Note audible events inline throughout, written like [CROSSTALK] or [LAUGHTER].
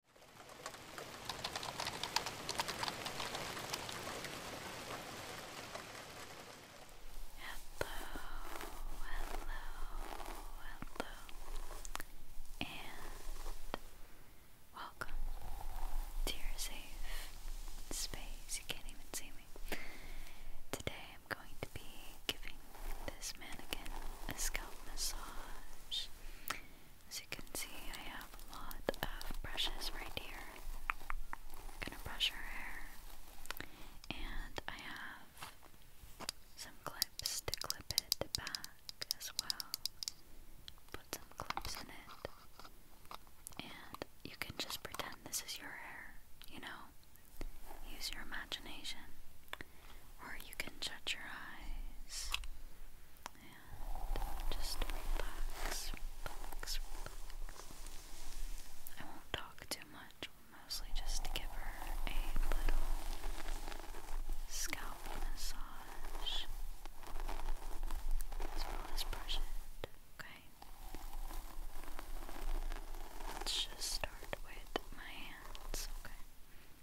hello, and welcome to your safe space. You can't even see me. Today I'm going to be giving this mannequin a scalp massage. As you can see, I have a lot of brushes right here. I'm gonna brush her hair. And I have some clips to clip it back as well. Put some clips in it. And you can just pretend this is your hair, you know? Use your imagination or you can shut your eyes and just relax, relax, relax. I won't talk too much, mostly just give her a little scalp massage as well as brush it, okay? Let's just start with my hands, okay?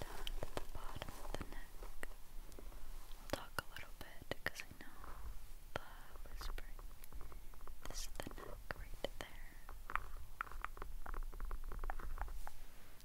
down to the bottom of the neck. We'll talk a little bit because I know the whispering. This is the neck right there.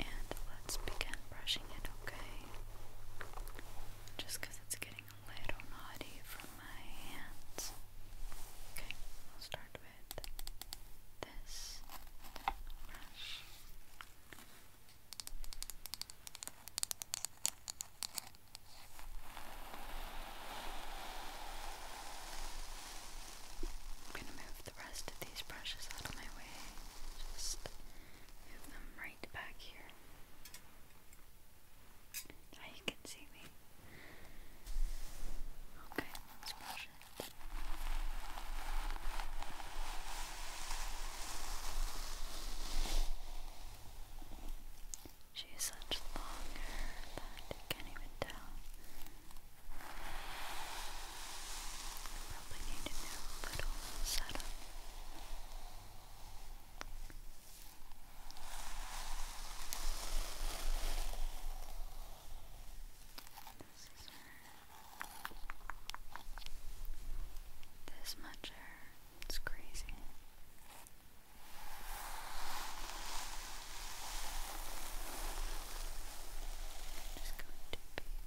And let's begin brushing it, okay? Just it's getting a little naughty from my hands. Okay, I'll start with this brush. I'm going to move the rest of these brushes out of my way. Just move them right back here. Now you can see me. Okay, let's brush it. She such long hair that you can't even tell Probably need a new little setup. This much hair. It's crazy. i going to be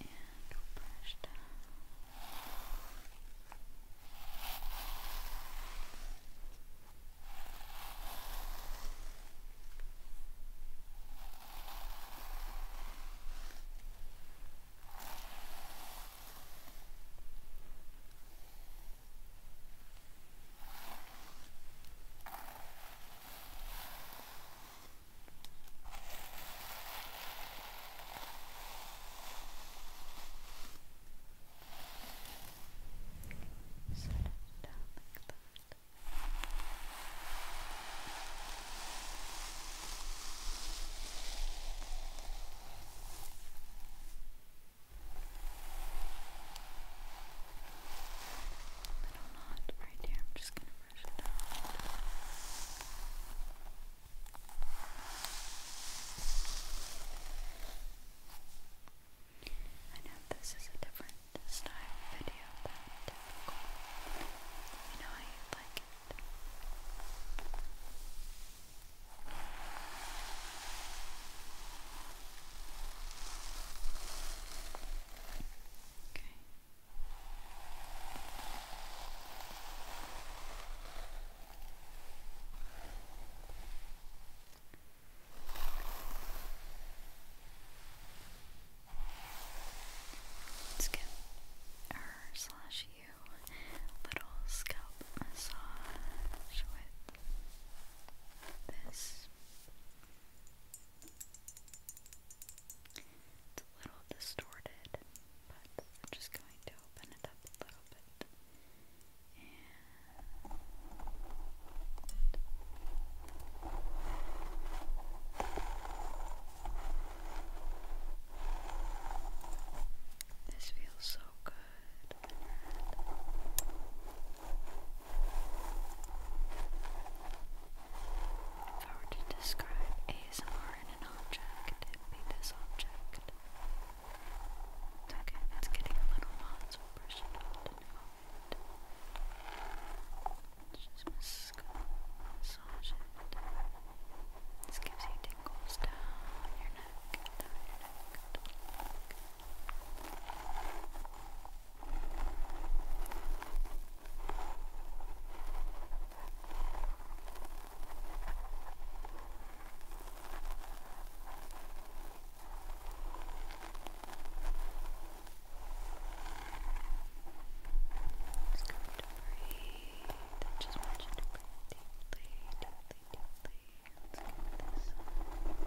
and brush down. Brush Set it down like that. Little knot right here. I'm just gonna brush I know this is a different style video than typical. You know I like it. Okay. Let's give her slash you a little scalp massage with this. It's a little distorted, but I'm just going to open it up a little bit. this feels so good. If I were to describe ASMR in an object, it'd be this object. Okay, it's getting a little hot, so we just massage it. This gives you tingles down your neck, down your neck. Just going to breathe. I just want you to breathe deeply, deeply, deeply. Let's give this. Good.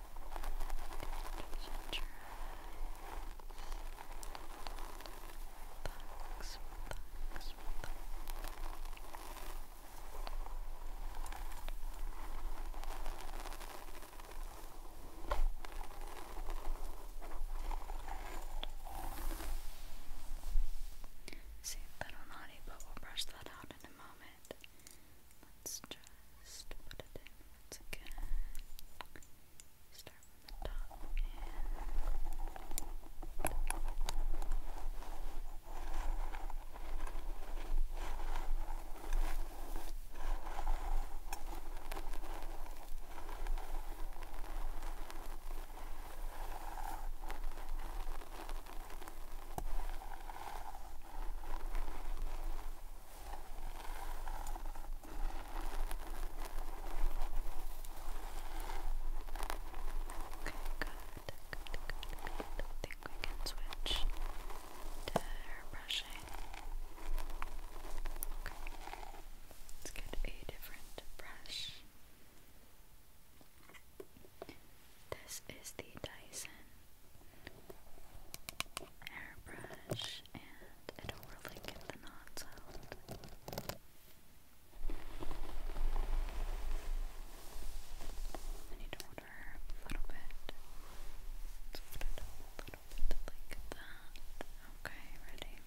Relax, relax, relax. See, that'll naughty, but we'll brush that out in a moment. Let's just put it in again. Start from the top Okay, good, good, good, good. I think we can switch to hair Okay, let's get a different brush. This is the Dyson airbrush and it'll really get the knots out. I need to order a little bit. Let's little bit like that. Okay, ready?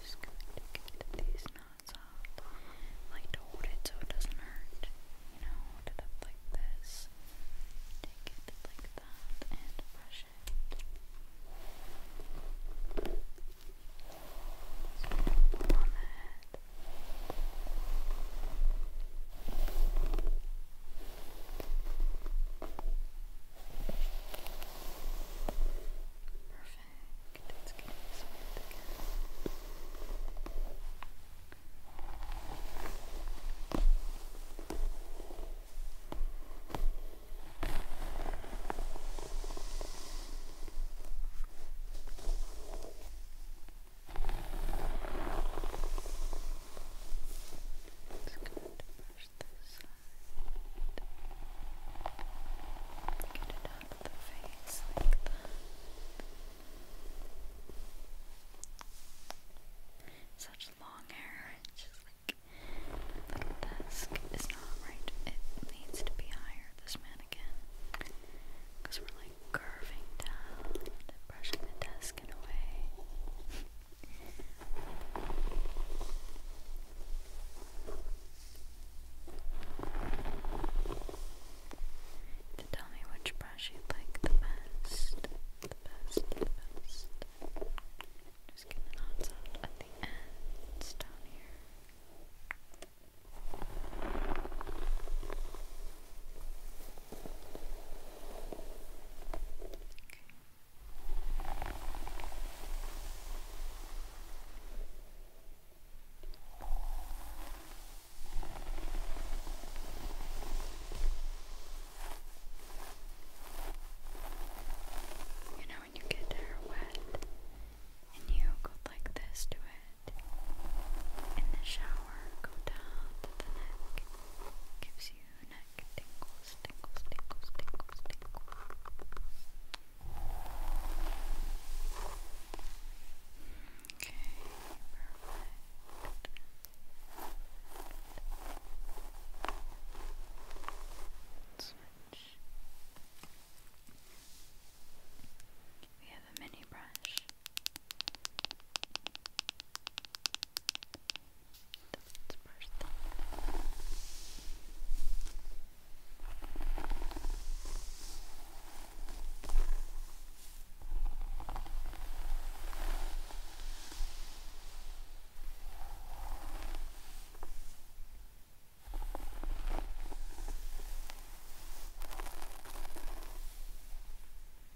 Just going to get these knots off. like to hold it so it doesn't hurt. You know, hold it like this. Take it like that and brush it. So pull on the Perfect. Let's get this smooth again. Perfect. Just going to brush this side. Get it out the face like that. Such long hair, it's just like the desk is not right. It needs to be higher, this mannequin. Because we're like curving down and brushing the desk in a way. to tell me which brush you like the best. The best, the best. Just get the knots out at the ends down here. You know, when you get hair wet and you go like this to it in the shower, go down to the neck. Gives you neck tingles, tingles, tingles, tingles, tingles. Okay, Switch. We have a mini brush. That's brush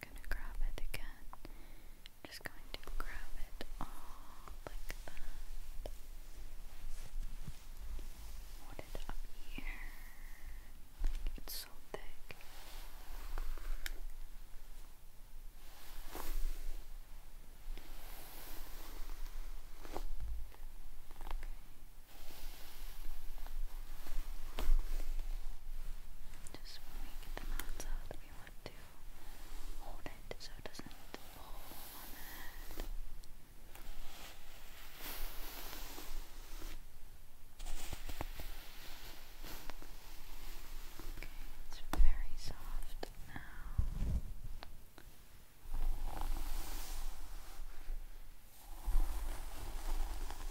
gonna grab it again. Just going to grab it all like that. Hold it up here. Like it's so thick. Okay. Just make the knots out want to hold it so it doesn't fall on the Okay, it's very soft now.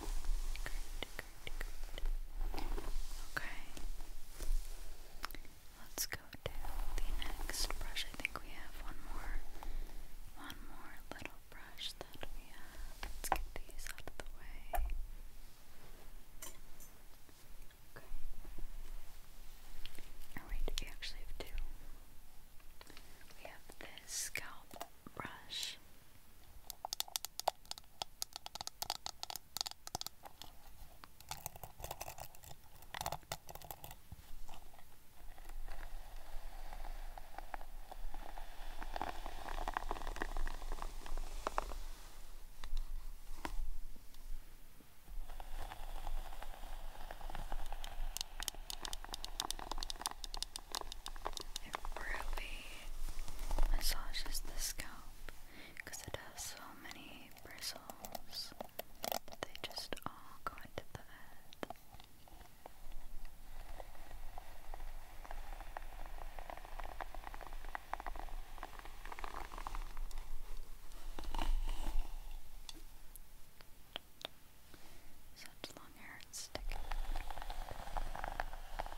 Good, good. Okay. Let's go to the next brush. I think we have one more, one more little brush that we have. Let's get these out of the way. Okay. All right. We actually have two. We have this scalp brush, it really massages the scalp because it has so many bristles. They just all go into the head. Such long hair sticking.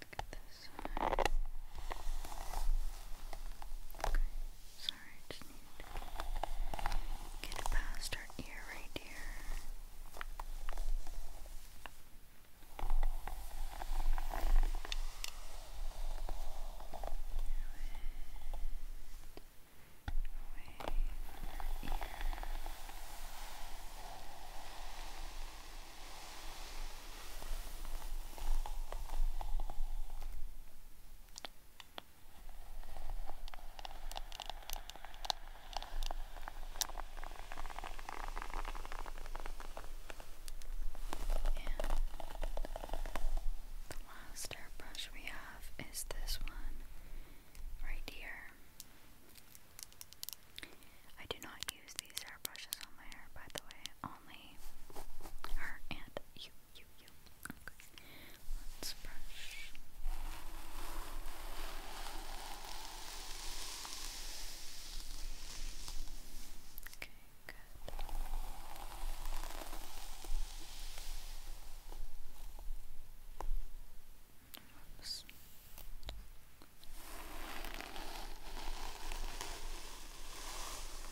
Look at this side. Okay. Sorry, I just need to get past our ear right here the last airbrush we have is this one right here. I do not use these airbrushes on my hair, by the way, only her and you, you, you. Okay, let's brush. Okay, good. Oops. Okay,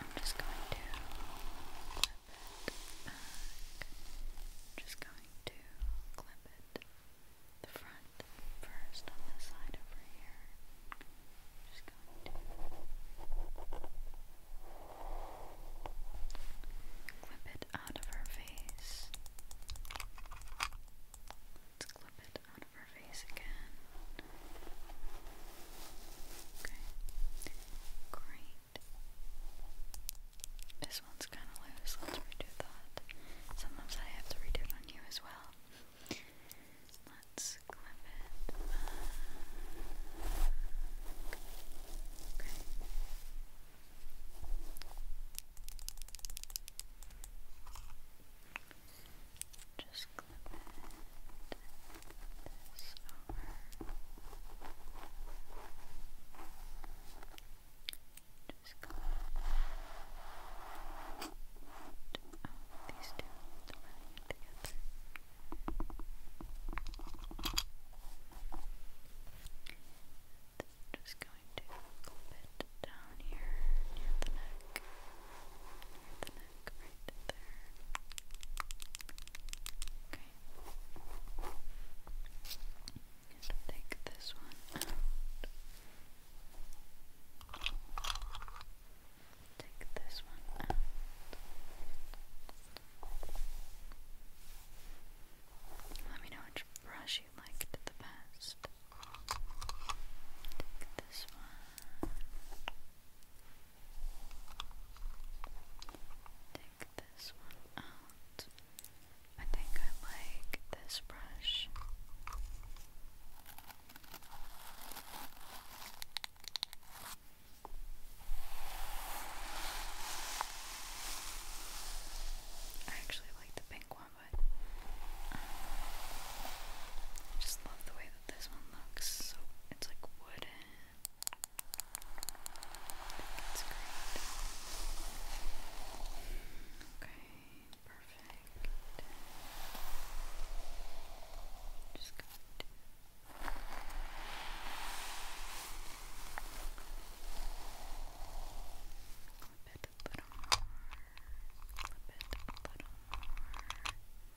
I'm just going to clip it back. just going to clip it the front first on the side over here. just going to clip it out of her face. Let's clip it out of her face again. Okay, great. This one's kind of loose. Let's redo that. Sometimes I have to redo on you as well. Let's clip it. Okay. Just clip it this over. Just clip these two together. Just going to clip it down here near the neck. Near the neck back Okay. take this one Take this one Let me know which brush you liked the best. Take this one. Take this one out. I think I like this brush. I actually like the pink one, but um, I just love the way this one looks so it's like wooden. It's great. Okay, perfect. Just going to Clip it a little more. Clip it a little more.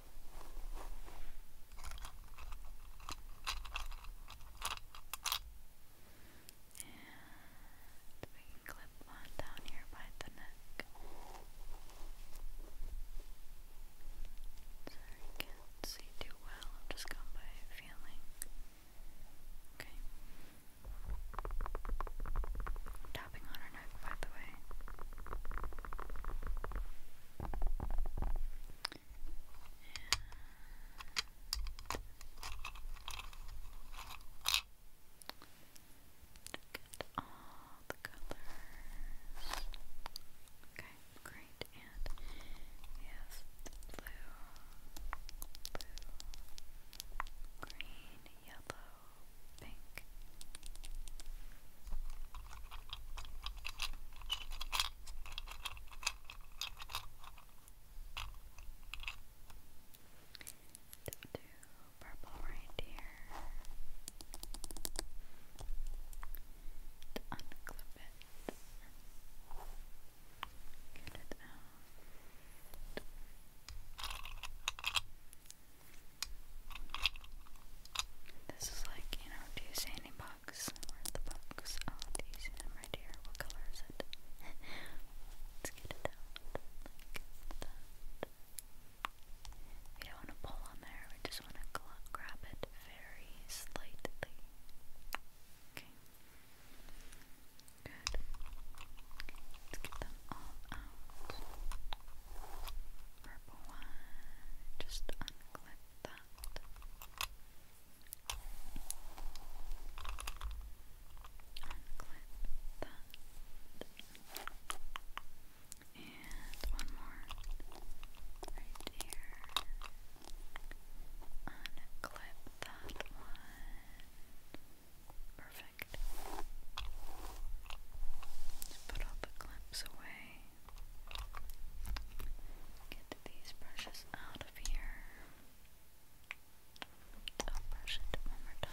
And we can clip one down here by the neck. Sorry, can't see too well. I'm just going by feeling. Okay. tapping on her neck, by the way get all the colors. Okay, great. And we blue, blue, green, yellow, pink we do purple right here. unclip it. Get it out. This is like, you know, do you box? the box? Oh, do you see them H&M right here? What color is it? [LAUGHS] Let's get it out We don't want to pull on there, we just want to grab it very slightly. Okay. Good. Let's get them all out. Purple one. Just unclip that. Unclip that. And one more right here. Unclip that one. Perfect. Put all the clips away. Get these brushes out of here. brush it one more time.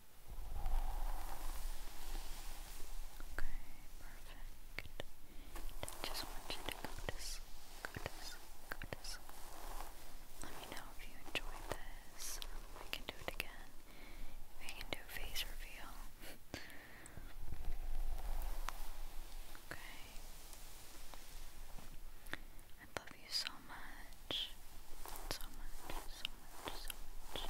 Okay, perfect. I just want you to go to sleep, go to sleep, go to sleep. Let me know if you enjoyed this. We can do it again. We can do face reveal. okay. I love you so much. So much, so much, so much.